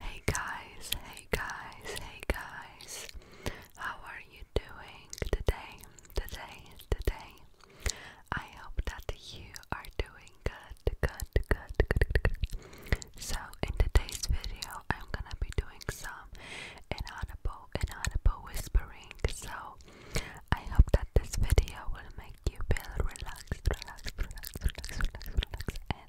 Hey guys, hey guys, hey guys. How are you doing today? Today, today. I hope that you are doing good, good, good, good, good. So, in today's video, I'm gonna be doing some inaudible, inaudible whispering. So, I hope that this video will make you feel relaxed, relaxed, relaxed, relaxed, relaxed, relaxed,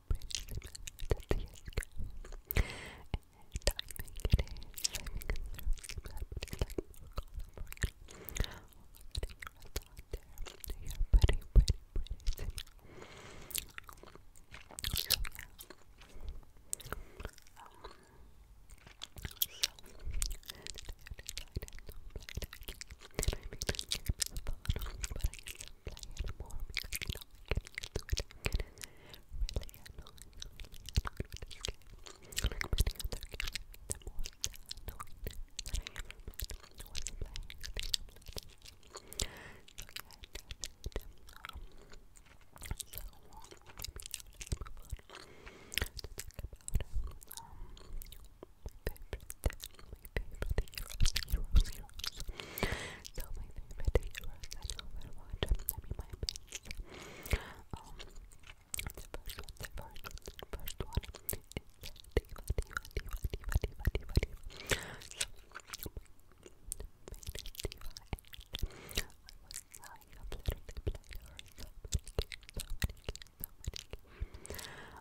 pretty similar to CSGO. And I think it is, I think it's very similar, but it's like more colorful, you know. All the heroes out there, they are pretty, pretty, pretty similar. So yeah. Um, so, today I decided not to play that game, and I made this game for fun, but I used play it more because you know I can use it. I get really annoyed, really annoyed with this game. Like many other games, the most annoyed that I ever been was playing the game like this. So yeah, that's it. Um, so um, maybe now let's move on to talk about um, my favorite heroes, heroes. So my favorite heroes that I'll ever watch, I mean my best. Um, the first one, the first one, the first one is Diva, Diva, Diva, Diva, Diva, Diva, Diva. So, my favorite Diva and I was lying up literally played her so many games, so many games, so many games.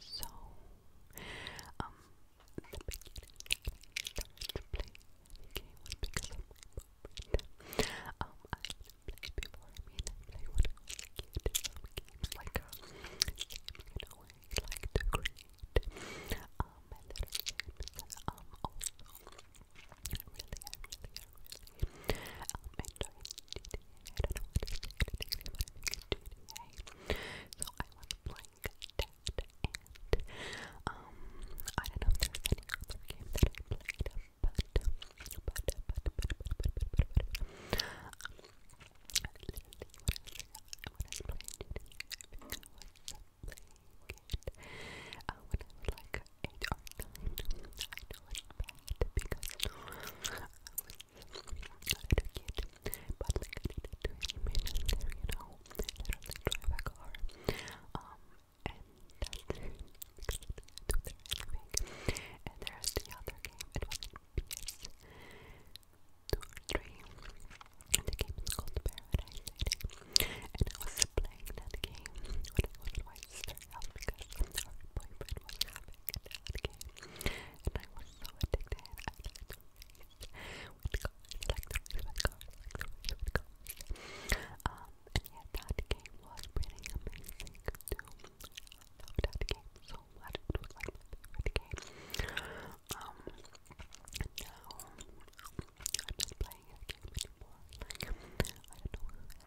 So, um, the beginning to play the because of my uh, Um, I didn't before, I mean, I played when I was a some games like, you know, like to create, um, and little games, um, I um, really, I really, I um, and so I don't know and um, I don't know if there's any other game that I played, but, but, but, but, but, but, but, but, but, I was, like like 8 or 9. I know it's bad because I was a kid, but like I did you know. Literally a car. Um, and that's it because there anything. the other game, it was PS2 or 3. And the game is called Paradise City. And I was playing that game when I was my her house because her boyfriend was having a dad game. And I was so addicted. I liked to race with cars, like to race with cars, like to Um, and that game was pretty amazing too. I loved that game so much. It was like my favorite game. Um, now I'm not playing that game anymore. Like, I don't know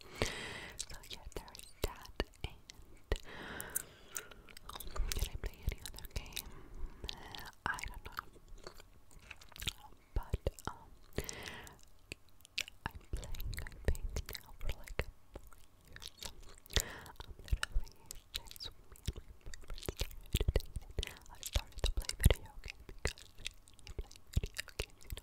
So yeah, there's that. And I play any other game? Uh, I don't know. But um, I'm playing. I think now for like four years. I'm um, literally since I started to play video games you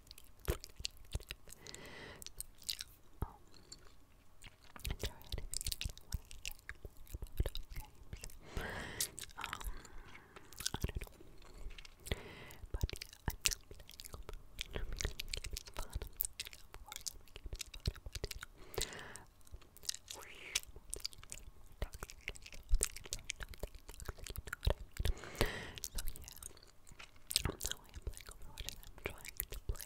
Um, try to games. Um, I don't know. But yeah, I'm not playing over I'm keeping fun. Of course, I'm keeping fun about it. Um, toxic, toxic, toxic, you know what I mean? I am playing Overwatch I'm trying to play